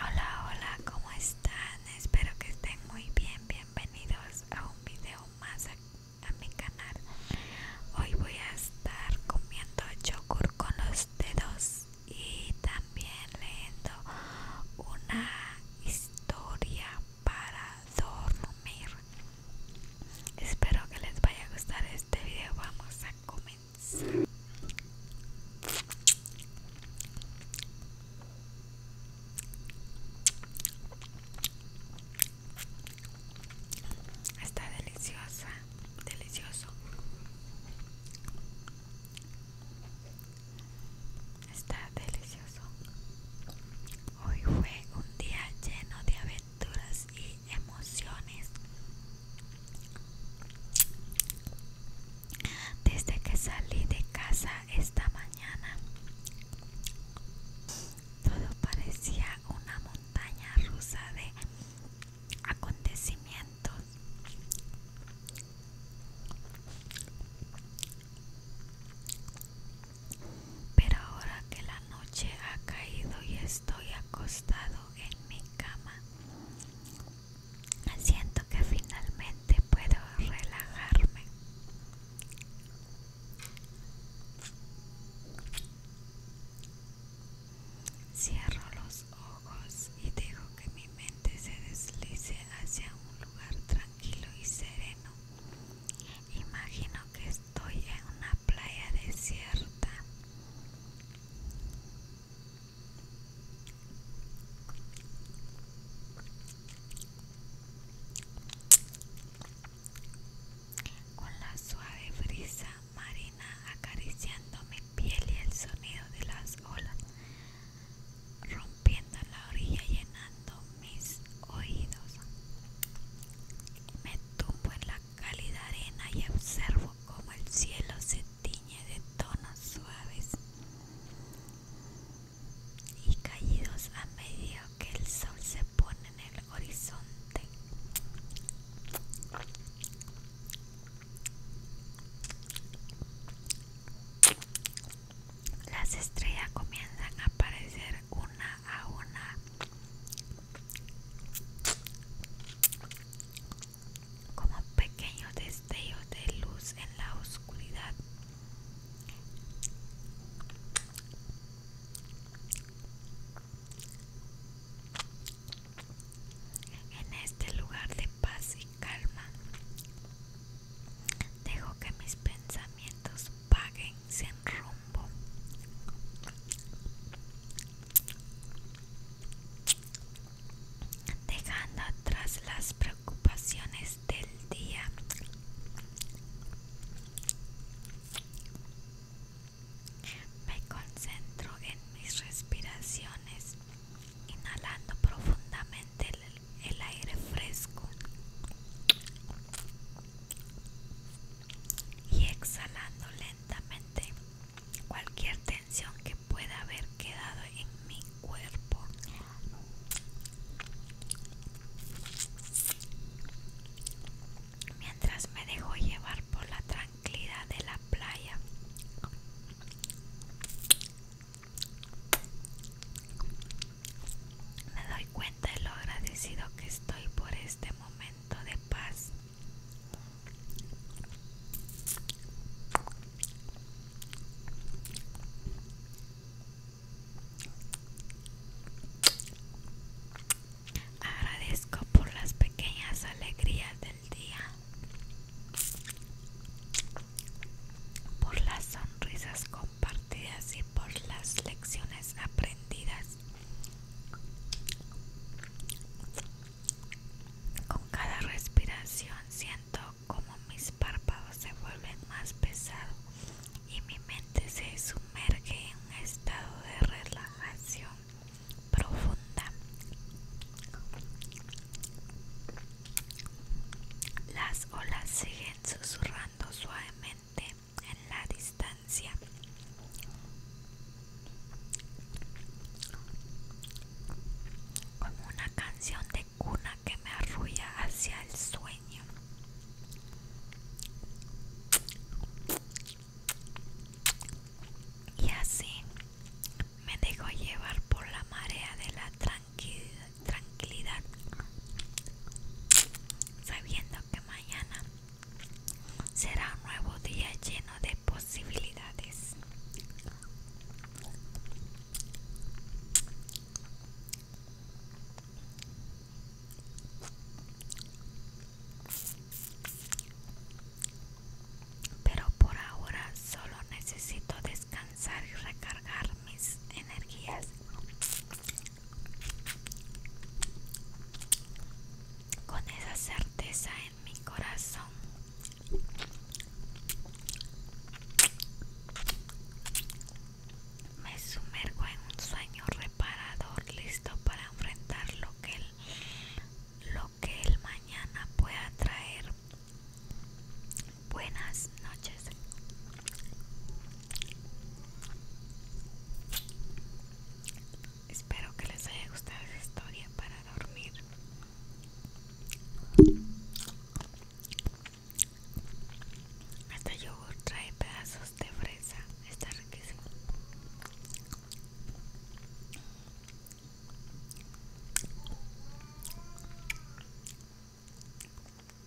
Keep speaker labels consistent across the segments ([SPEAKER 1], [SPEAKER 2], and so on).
[SPEAKER 1] Hola, hola, ¿cómo están? Espero que estén muy bien. Bienvenidos a un video más a, mi canal. Hoy voy a estar comiendo yogur con los dedos y también leyendo una historia para dormir. Espero que les vaya a gustar este video. Vamos a comenzar Está deliciosa, delicioso. Está delicioso. Hoy fue un día lleno de aventuras y emociones. Desde que salí de casa esta mañana, todo parecía una montaña rusa de acontecimientos. Pero ahora que la noche ha caído y estoy acostado en mi cama, siento que finalmente puedo relajarme cierro los ojos y dejo que mi mente se deslice hacia un lugar tranquilo y sereno imagino que estoy en una playa desierta con la suave brisa marina acariciando mi piel y el sonido de las olas, rompiendo la orilla llenando mis oídos. Me tumbo en la cálida arena y observo como el cielo se tiñe de tonos suaves y caídos a medida que el sol se pone en el horizonte. Las estrellas comienzan a aparecer una a una como pequeño destello de luz en la oscuridad. En este lugar de paz y calma, dejo que mis pensamientos paguen sin rumbo dejando atrás las preocupaciones del día. Me concentro en mis respiraciones, inhalando profundamente el, aire fresco y exhalando lentamente cualquier tensión que pueda haber quedado en mi cuerpo. Mientras me dejo llevar por la tranquilidad de la playa. Me doy cuenta de lo agradecido que estoy por este momento de paz. Agradezco por las pequeñas alegrías del día, por las sonrisas compartidas y por las lecciones aprendidas. Con cada respiración siento como mis párpados se vuelven más pesados y mi mente se sumerge en un estado de relajación profunda. Las olas siguen susurrando suavemente en la distancia. Como una canción de cuna que me arrulla hacia el sueño. Y así me dejo llevar por la marea de la tranquilidad, sabiendo que mañana Será un nuevo día lleno de posibilidades. Pero por ahora solo necesito descansar y recargar mis energías con esa certeza en mi corazón. Me sumergo en un sueño reparador, listo para enfrentar lo que el, lo que el mañana pueda traer. Buenas noches. Espero que les haya gustado esta historia para dormir. Hasta yogur trae pedazos de fresa. Está riquísimo.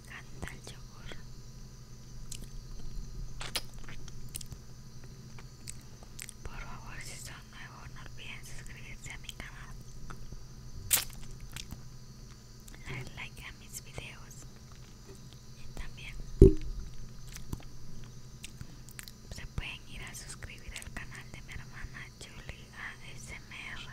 [SPEAKER 1] encanta el yogur. Por favor, si son nuevos, no olviden suscribirse a mi canal. Dar like a mis videos. Y también se pueden ir a suscribir al canal de mi hermana Julie ASMR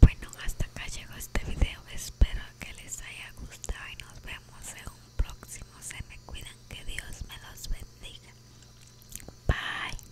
[SPEAKER 1] Bueno, hasta acá llegó este video. Espero que les haya gustado y nos vemos en un próximo. Se me cuidan, que Dios me los bendiga. Bye.